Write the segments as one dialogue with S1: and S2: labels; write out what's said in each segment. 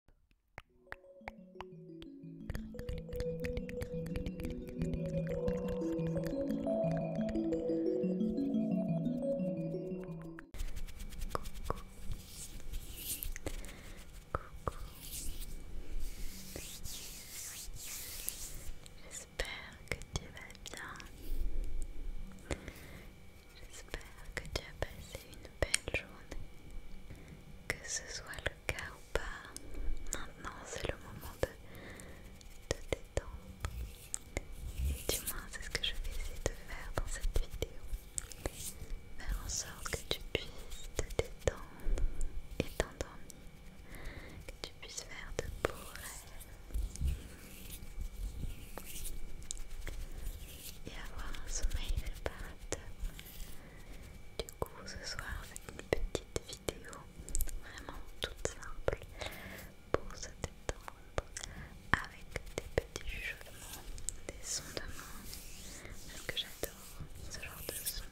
S1: J'espère que tu vas bien J'espère que tu as passé une belle journée. Que ce soit le cas ou pas, maintenant c'est le moment de te détendre. Et du moins c'est ce que je vais essayer de faire dans cette vidéo. Faire en sorte que tu puisses te détendre et t'endormir. Que tu puisses faire de beaux rêves et avoir un sommeil réparateur. Du coup, ce soir, avec une petite vidéo vraiment toute simple pour se détendre avec des petits chuchotements, des sons de mains. que j'adore ce genre de son.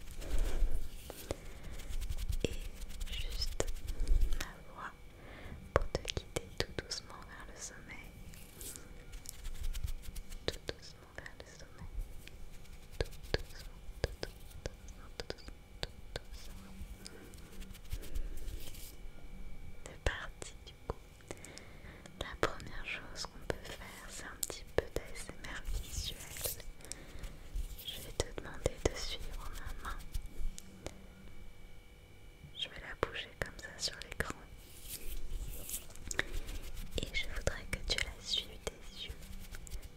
S1: Et juste ma voix pour te guider tout doucement vers le sommeil tout doucement vers le sommet, Tout doucement, tout doucement, tout doucement, tout doucement. C'est parti du coup. La première chose qu'on peut faire, c'est un petit peu d'ASMR visuel. Je vais te demander de suivre ma main. Je vais la bouger comme ça sur l'écran. Et je voudrais que tu la suives des yeux.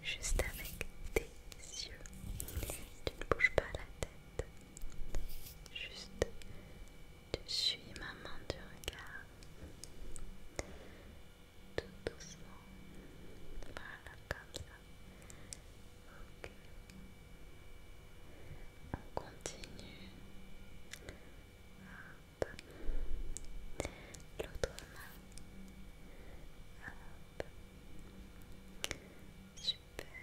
S1: Juste avec tes yeux. Tu ne bouges pas la tête. Juste, tu suis ma main du regard. Tout doucement. Voilà, comme ça. Ok on continue hop l'autre main hop super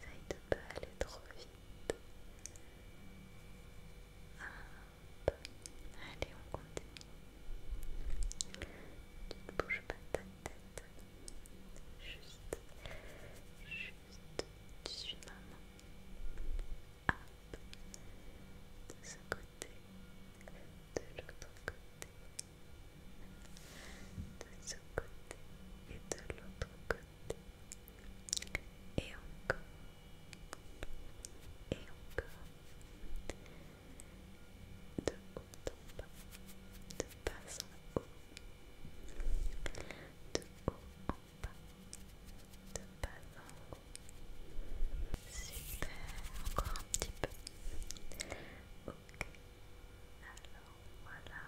S1: essaye de pas aller trop vite hop allez on continue tu ne bouges pas ta tête juste, juste dessus ma main. Hop, de ce côté, de l'autre côté, de ce côté et de l'autre côté. Et encore, et encore, de haut en bas, de de bas en haut, de haut en bas, de bas en haut. Super, encore un petit peu. Ok, alors voilà.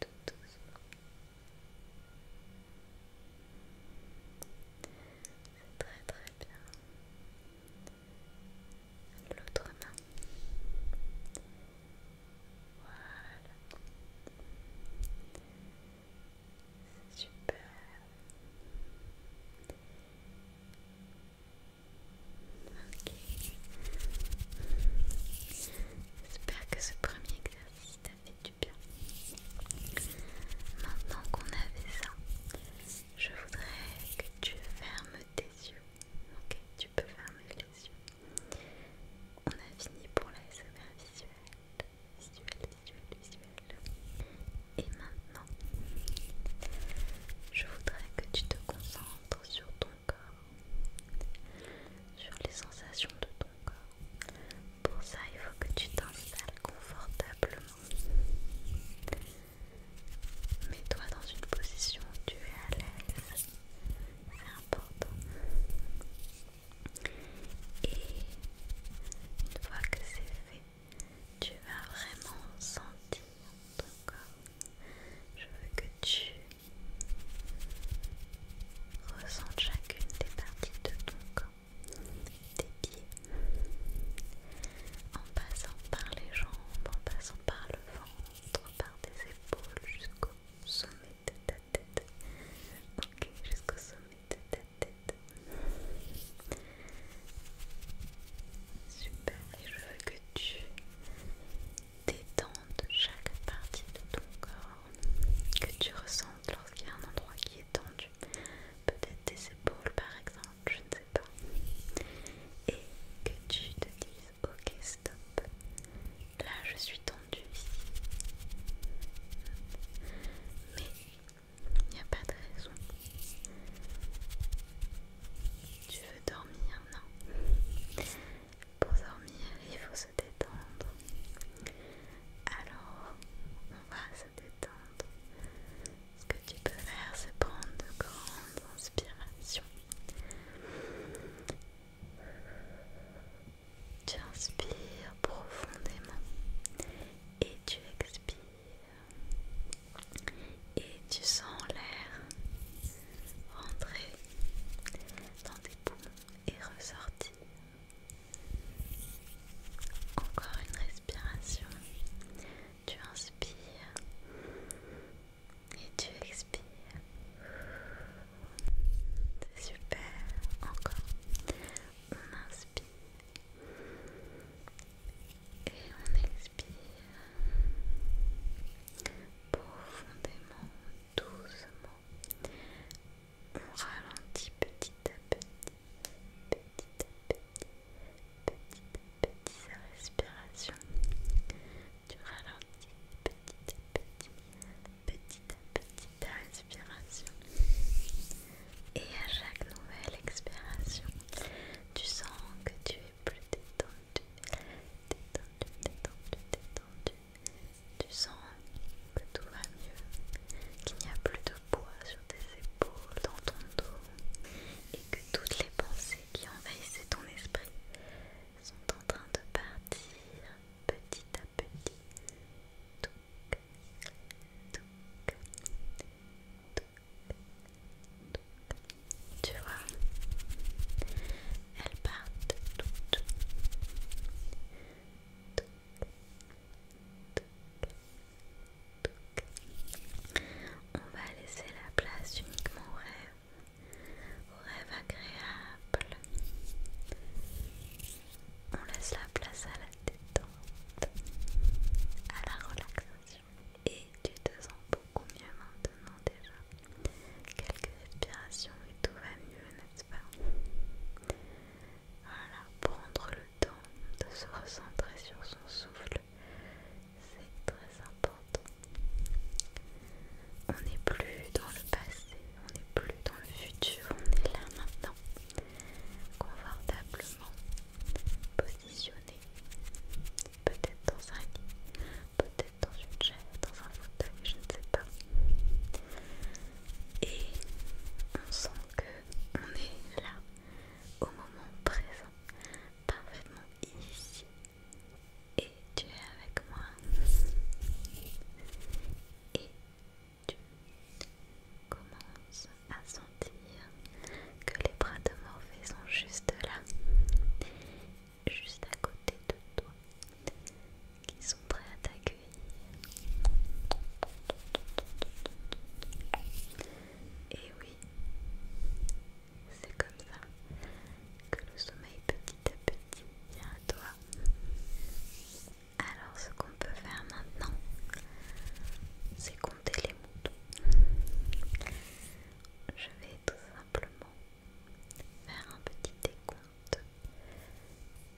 S1: Tout doucement. C'est très très bien l'autre main. Voilà. Super. Ok. J'espère que ce premier exercice t'a fait du bien. Maintenant qu'on avait ça, je voudrais que tu fermes tes yeux. Ok, tu peux fermer les yeux. On a fini pour la visuel visuelle. visuel, visuel, visuelle. Et maintenant, je voudrais que tu te concentres sur ton corps, sur les sensations de ton corps. Pour ça, il faut que tu t'installes confortablement Mets-toi dans une position où tu es à l'aise, c'est important. Et une fois que c'est fait, tu vas vraiment sentir ton corps. Je veux que tu ressentes chacune des parties de ton corps, tes pieds, en passant par les jambes, en passant par le ventre, par tes épaules jusqu'au sommet de ta tête. Ok, jusqu'au sommet de ta tête. Super, et je veux que tu détendes chaque partie de ton corps, que tu ressentes lorsqu'il y a un endroit qui est tendu. Peut-être tes épaules par exemple, je ne sais pas. Et que tu te dises, ok, stop. Là, je suis tendue Mais il n'y a pas de raison. Tu veux dormir Non. Pour dormir, il faut se détendre. Alors, on va se détendre que tu peux faire, c'est prendre de grandes inspirations. Tu inspires profondément et tu expires. Et tu sens l'air rentrer dans tes poumons et ressortir. Encore une respiration. Tu inspires et tu expires. C'est super. Encore. On inspire et on expire profondément, doucement on ralentit petit à petit, petit à petit, petit à petit sa respiration. Tu ralentis petit à petit, petit à petit ta respiration. Et à chaque nouvelle expiration, tu sens que tu es plus détendu, détendu, détendu, détendu. Tu sens que tout va mieux, qu'il n'y a plus de poids sur tes épaules, dans ton dos, et que toutes les pensées qui envahissaient ton esprit sont en train de partir petit à petit. Tu vois, elles partent Toutes, on va laisser la place uniquement au rêve, au rêve agréable. On laisse la place à la détente, à la relaxation. Et tu te sens beaucoup mieux maintenant déjà. Quelques respirations et tout va mieux, n'est-ce pas voilà, prendre le temps de se recentrer sur son souffle, c'est très important. On n'est plus dans le passé, on n'est plus dans le futur, on est là maintenant, confortablement positionné, peut-être dans un lit, peut-être dans une chaise, dans un fauteuil, je ne sais pas et on sent que on est là au moment présent parfaitement ici et tu es avec moi et tu commences à sentir que les bras de Morphée sont juste là juste à côté de toi qui sont prêts à t'accueillir. Et oui, c'est comme ça que le sommeil petit à petit vient à toi. Alors ce qu'on peut faire maintenant, c'est compter les moutons. Je vais tout simplement faire un petit décompte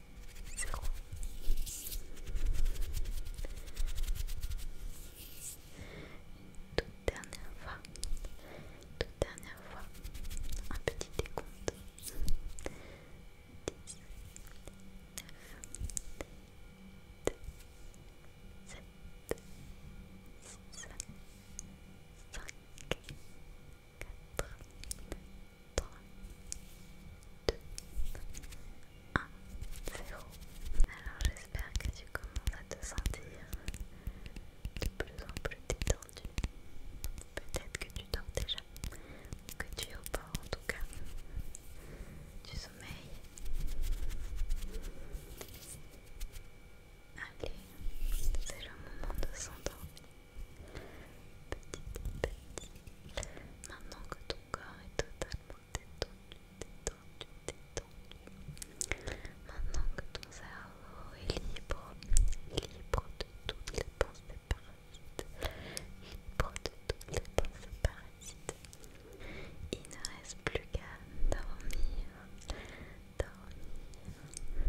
S1: Une toute dernière fois, toute dernière fois, un petit décompte. 2, 1, 0. Alors j'espère que tu commences à te sentir de plus en plus détendu. Peut-être que tu dors déjà, que tu es au bord en tout cas. Tu sommeilles. Allez, c'est le moment de s'endormir petit petit. Maintenant que ton corps est totalement détendu, détendu, détendu. Maintenant que ton cerveau est libre, libre de toutes les pensées parasites, libre de toutes les pensées parasites. Il ne reste plus qu'à dormir, dormir, dormir,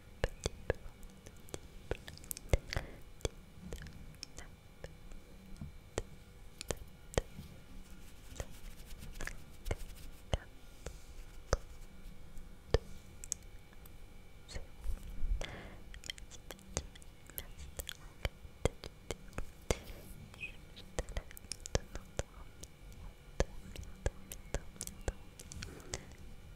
S1: Merci, merci,